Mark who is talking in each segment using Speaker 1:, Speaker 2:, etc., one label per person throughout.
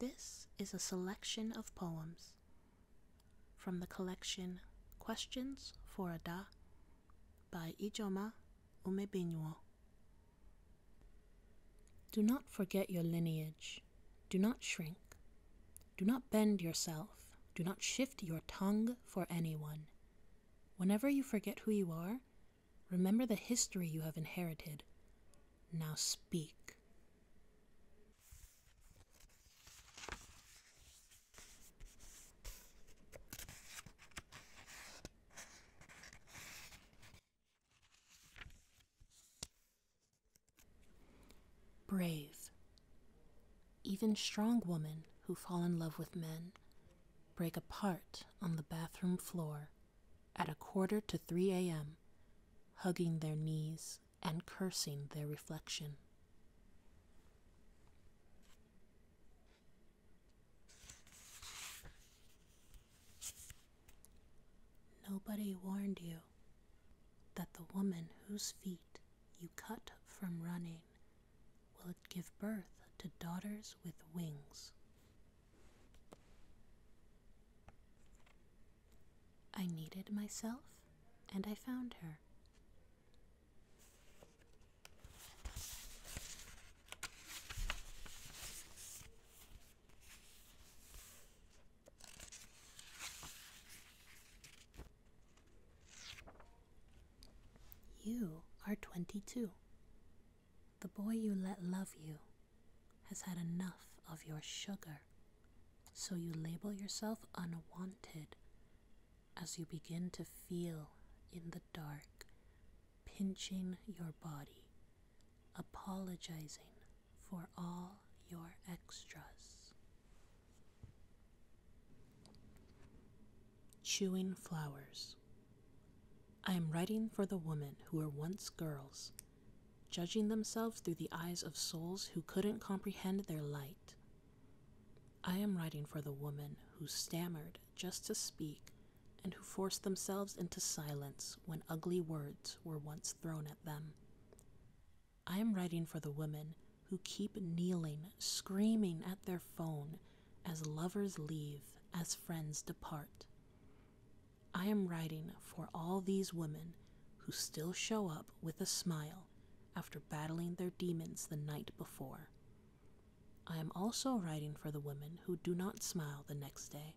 Speaker 1: This is a selection of poems from the collection Questions for Ada by Ijoma Umebinwo. Do not forget your lineage. Do not shrink. Do not bend yourself. Do not shift your tongue for anyone. Whenever you forget who you are, Remember the history you have inherited. Now speak. Brave. Even strong women who fall in love with men break apart on the bathroom floor at a quarter to 3 a.m., hugging their knees and cursing their reflection. Nobody warned you that the woman whose feet you cut from running will give birth to daughters with wings. I needed myself, and I found her. You are twenty two. The boy you let love you has had enough of your sugar, so you label yourself unwanted as you begin to feel in the dark, pinching your body, apologizing for all your extras. Chewing flowers. I am writing for the women who were once girls, judging themselves through the eyes of souls who couldn't comprehend their light. I am writing for the woman who stammered just to speak and who forced themselves into silence when ugly words were once thrown at them. I am writing for the women who keep kneeling, screaming at their phone, as lovers leave, as friends depart. I am writing for all these women who still show up with a smile after battling their demons the night before. I am also writing for the women who do not smile the next day,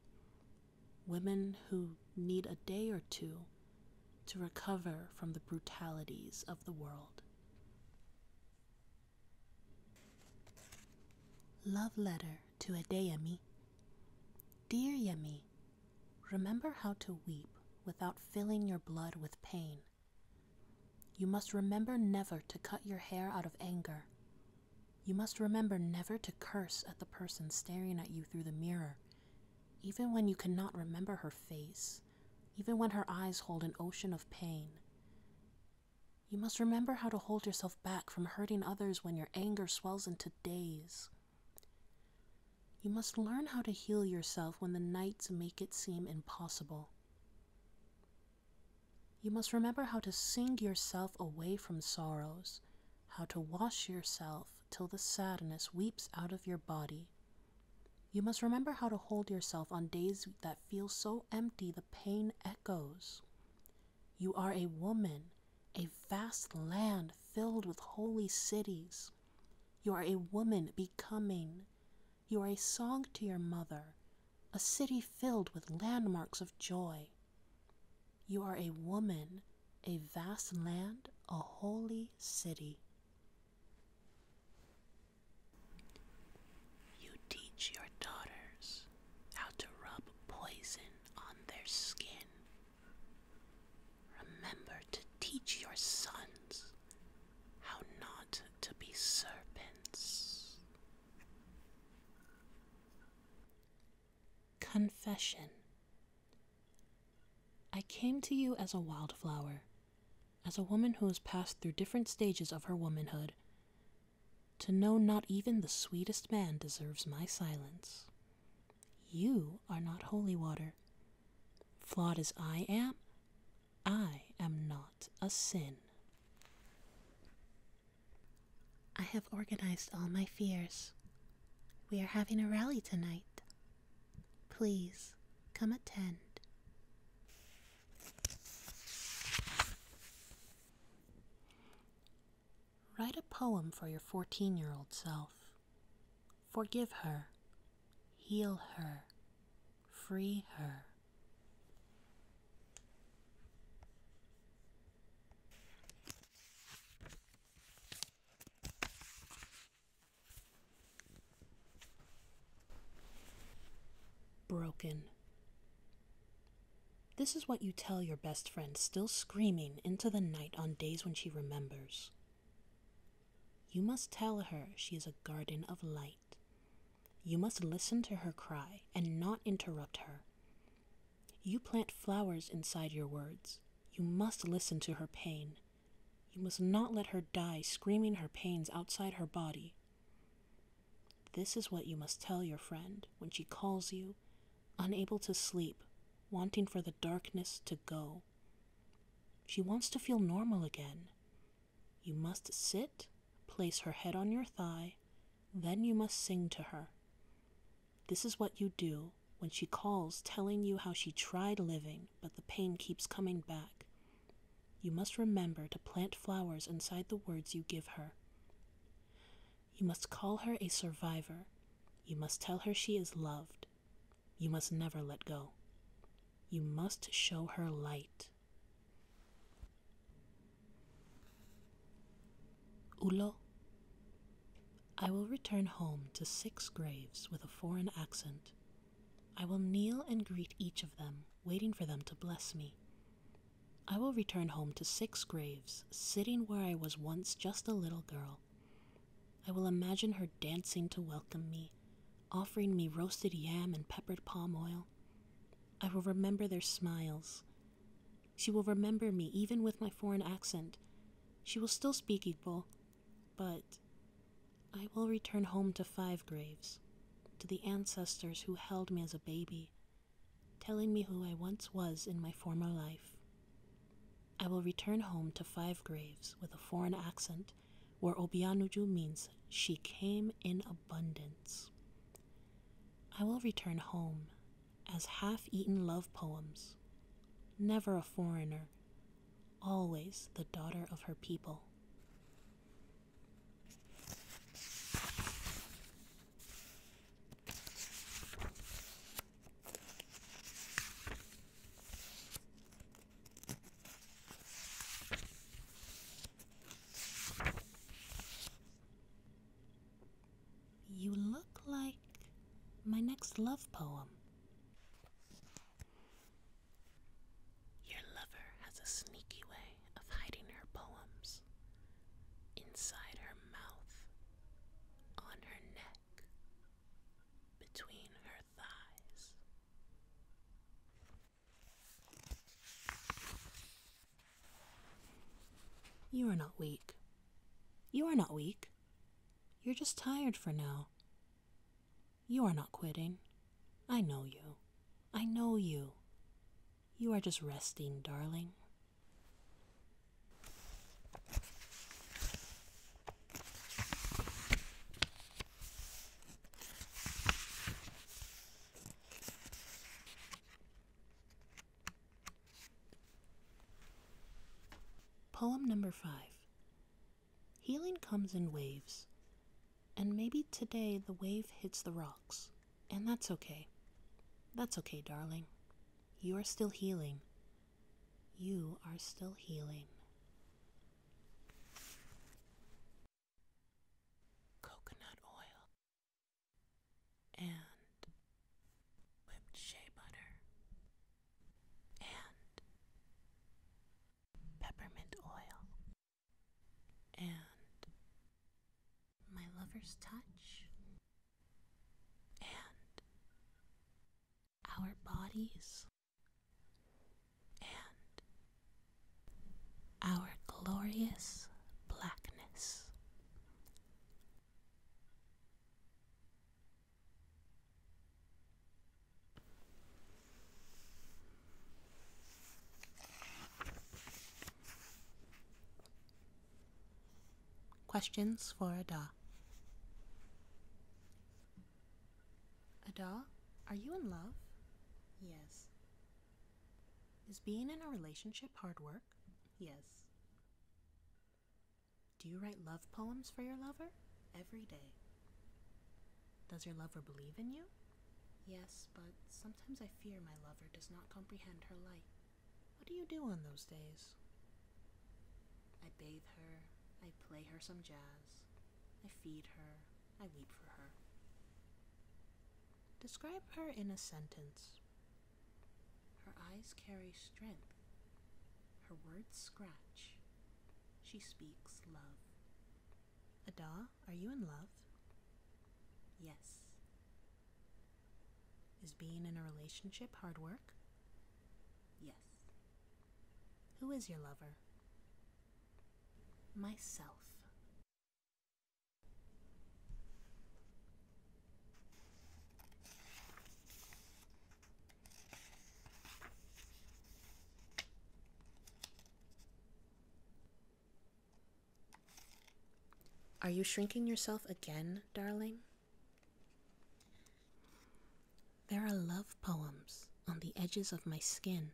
Speaker 1: women who need a day or two to recover from the brutalities of the world. Love letter to a Adeyemi. Dear Yemi, remember how to weep without filling your blood with pain. You must remember never to cut your hair out of anger. You must remember never to curse at the person staring at you through the mirror, even when you cannot remember her face, even when her eyes hold an ocean of pain. You must remember how to hold yourself back from hurting others when your anger swells into days. You must learn how to heal yourself when the nights make it seem impossible. You must remember how to sing yourself away from sorrows, how to wash yourself till the sadness weeps out of your body. You must remember how to hold yourself on days that feel so empty the pain echoes. You are a woman, a vast land filled with holy cities. You are a woman becoming. You are a song to your mother, a city filled with landmarks of joy. You are a woman, a vast land, a holy city. You teach your daughters how to rub poison on their skin. Remember to teach your sons how not to be serpents. Confession I came to you as a wildflower, as a woman who has passed through different stages of her womanhood, to know not even the sweetest man deserves my silence. You are not holy water. Flawed as I am, I am not a sin. I have organized all my fears. We are having a rally tonight. Please come attend. Write a poem for your 14 year old self. Forgive her, heal her, free her. Broken. This is what you tell your best friend, still screaming into the night on days when she remembers. You must tell her she is a garden of light. You must listen to her cry and not interrupt her. You plant flowers inside your words. You must listen to her pain. You must not let her die screaming her pains outside her body this is what you must tell your friend when she calls you, unable to sleep, wanting for the darkness to go. She wants to feel normal again. You must sit, place her head on your thigh, then you must sing to her. This is what you do when she calls, telling you how she tried living, but the pain keeps coming back. You must remember to plant flowers inside the words you give her. You must call her a survivor. You must tell her she is loved. You must never let go. You must show her light. Ulo, I will return home to six graves with a foreign accent I will kneel and greet each of them, waiting for them to bless me. I will return home to six graves, sitting where I was once just a little girl. I will imagine her dancing to welcome me, offering me roasted yam and peppered palm oil. I will remember their smiles. She will remember me even with my foreign accent. She will still speak Igbo, but I will return home to five graves, to the ancestors who held me as a baby, telling me who I once was in my former life. I will return home to five graves with a foreign accent where Obianuju means she came in abundance. I will return home as half eaten love poems, never a foreigner, always the daughter of her people. You look like my next love poem. Your lover has a sneaky way of hiding her poems inside her mouth, on her neck, between her thighs. You are not weak. You are not weak. You're just tired for now. You are not quitting. I know you. I know you. You are just resting, darling. Poem number five Healing comes in waves, and maybe today the wave hits the rocks, and that's okay. That's okay, darling. You are still healing. You are still healing. Coconut oil and whipped shea butter and peppermint oil, and my lover's touch, and our bodies, and our glorious blackness. Questions for Ada. Ada, are you in love? Yes. Is being in a relationship hard work? Yes. Do you write love poems for your lover? Every day. Does your lover believe in you? Yes, but sometimes I fear my lover does not comprehend her light. What do you do on those days? I bathe her, I play her some jazz, I feed her, I weep for her. Describe her in a sentence. Her eyes carry strength, her words scratch, she speaks love. Ada, are you in love? Yes. Is being in a relationship hard work? Yes. Who is your lover? Myself. Are you shrinking yourself again, darling? There are love poems on the edges of my skin.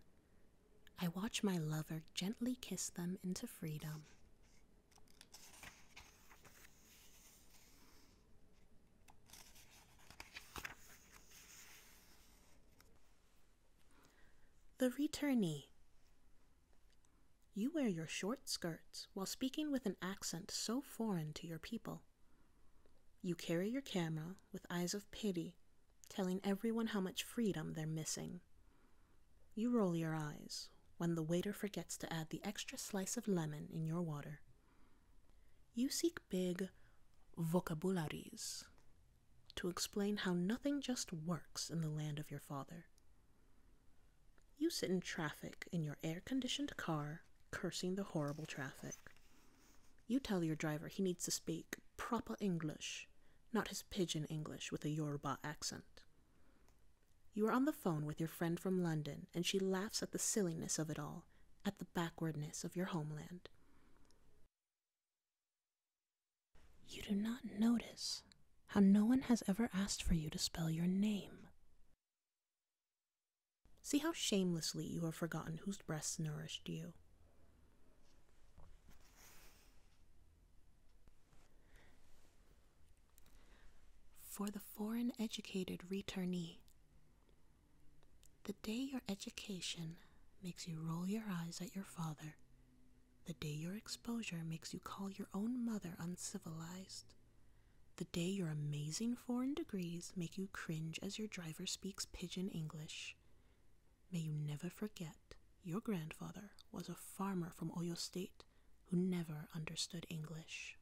Speaker 1: I watch my lover gently kiss them into freedom. The returnee. You wear your short skirts while speaking with an accent so foreign to your people. You carry your camera with eyes of pity, telling everyone how much freedom they're missing. You roll your eyes when the waiter forgets to add the extra slice of lemon in your water. You seek big vocabularies to explain how nothing just works in the land of your father. You sit in traffic in your air conditioned car, cursing the horrible traffic. You tell your driver he needs to speak proper English, not his pidgin English with a Yoruba accent. You are on the phone with your friend from London, and she laughs at the silliness of it all, at the backwardness of your homeland. You do not notice how no one has ever asked for you to spell your name. See how shamelessly you have forgotten whose breasts nourished you. For the foreign educated returnee, the day your education makes you roll your eyes at your father, the day your exposure makes you call your own mother uncivilized, the day your amazing foreign degrees make you cringe as your driver speaks pidgin English, may you never forget your grandfather was a farmer from Oyo State who never understood English.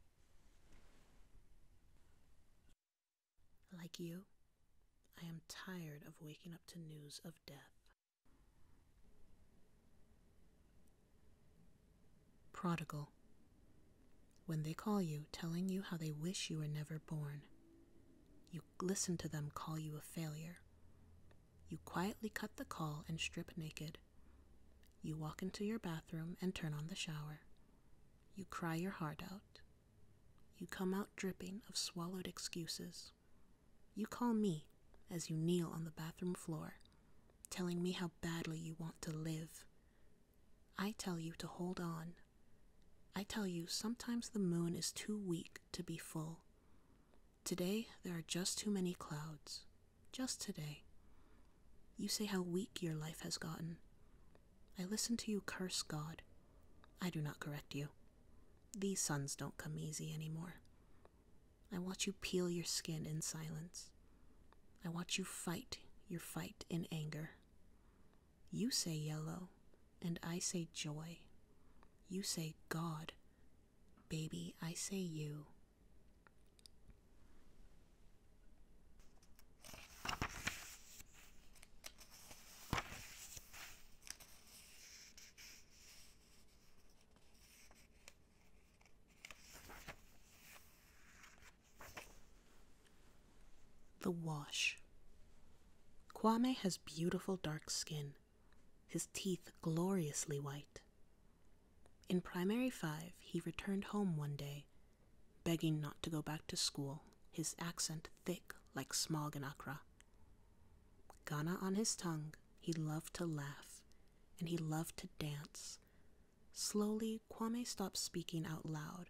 Speaker 1: Like you, I am tired of waking up to news of death. Prodigal. When they call you, telling you how they wish you were never born, you listen to them call you a failure. You quietly cut the call and strip naked, you walk into your bathroom and turn on the shower. You cry your heart out. You come out dripping of swallowed excuses. You call me as you kneel on the bathroom floor, telling me how badly you want to live. I tell you to hold on. I tell you sometimes the moon is too weak to be full. Today there are just too many clouds. Just today. You say how weak your life has gotten. I listen to you curse God. I do not correct you. These sons don't come easy anymore. I watch you peel your skin in silence. I watch you fight your fight in anger. You say yellow, and I say joy. You say God. Baby, I say you. The Wash. Kwame has beautiful dark skin, his teeth gloriously white. In primary five, he returned home one day, begging not to go back to school, his accent thick like smog in Accra. Ghana on his tongue, he loved to laugh, and he loved to dance. Slowly, Kwame stopped speaking out loud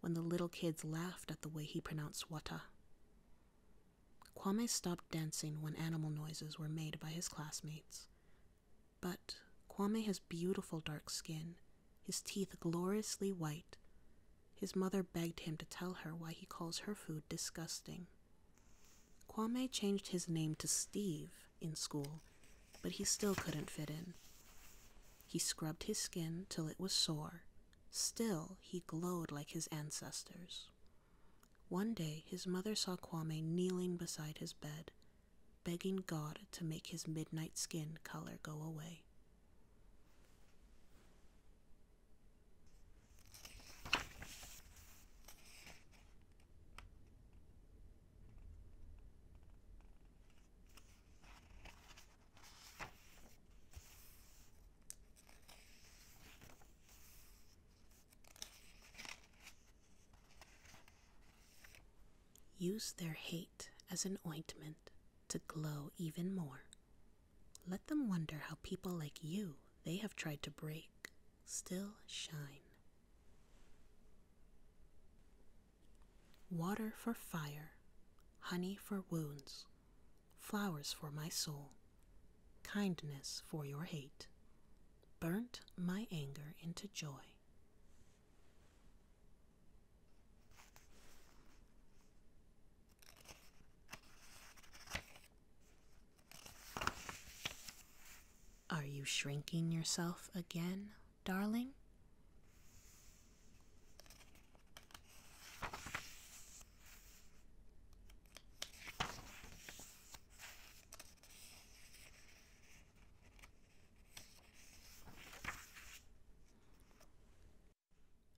Speaker 1: when the little kids laughed at the way he pronounced wata. Kwame stopped dancing when animal noises were made by his classmates, but Kwame has beautiful dark skin, his teeth gloriously white. His mother begged him to tell her why he calls her food disgusting. Kwame changed his name to Steve in school, but he still couldn't fit in. He scrubbed his skin till it was sore. Still, he glowed like his ancestors. One day his mother saw Kwame kneeling beside his bed, begging God to make his midnight skin color go away. Use their hate as an ointment to glow even more. Let them wonder how people like you they have tried to break still shine. Water for fire, honey for wounds, flowers for my soul, kindness for your hate, burnt my anger into joy. Are you shrinking yourself again, darling?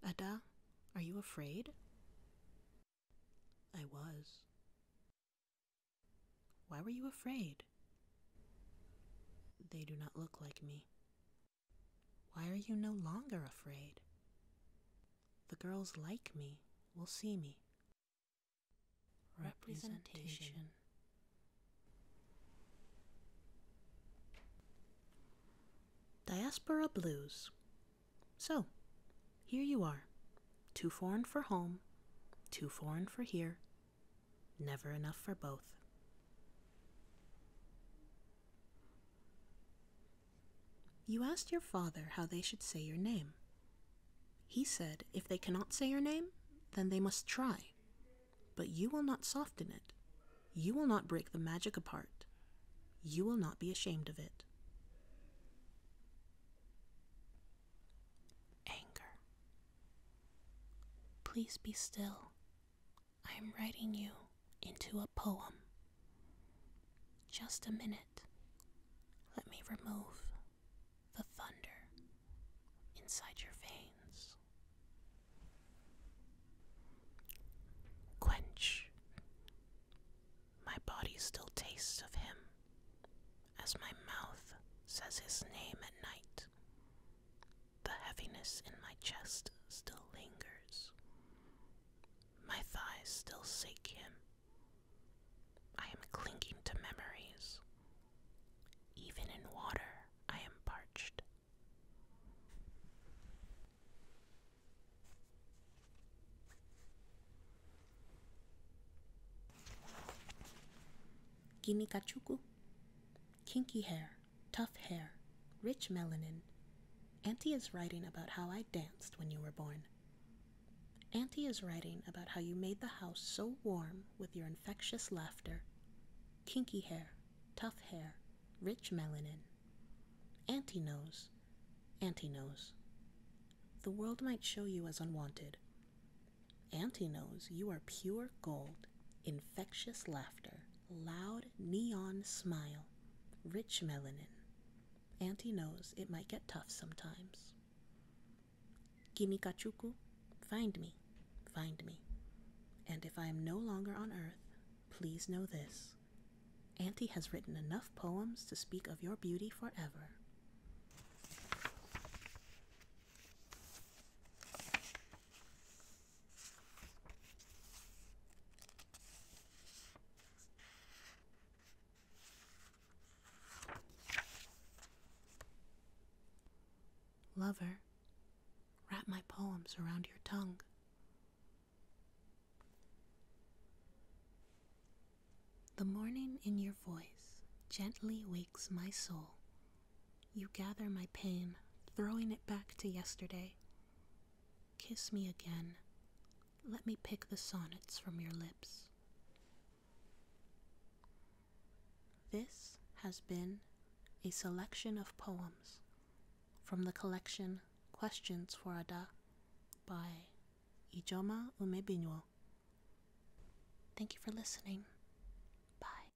Speaker 1: Ada, are you afraid? I was. Why were you afraid? They do not look like me. Why are you no longer afraid? The girls like me will see me representation. Diaspora Blues. So, here you are. Too foreign for home, too foreign for here, never enough for both. You asked your father how they should say your name. He said, If they cannot say your name, then they must try. But you will not soften it. You will not break the magic apart. You will not be ashamed of it. Anger. Please be still. I am writing you into a poem. Just a minute. Let me remove the thunder inside your veins. Quench. My body still tastes of him as my mouth says his name at night. The heaviness in my chest still lingers. My thighs still seek him I am clinging to memories. Even in water, I am parched. Gimikachuku. Kinky hair, tough hair, rich melanin. Auntie is writing about how I danced when you were born. Auntie is writing about how you made the house so warm with your infectious laughter. Kinky hair, tough hair, rich melanin. Auntie knows. Auntie knows. The world might show you as unwanted. Auntie knows you are pure gold, infectious laughter, loud neon smile, rich melanin. Auntie knows it might get tough sometimes. Kimikachuku, find me, find me. And if I am no longer on earth, please know this. Auntie has written enough poems to speak of your beauty forever. Lover, wrap my poems around your tongue. The morning in your voice gently wakes my soul. You gather my pain, throwing it back to yesterday. Kiss me again, let me pick the sonnets from your lips. This has been a selection of poems from the collection Questions for Ada by Ijoma Umebinwo. Thank you for listening. Bye.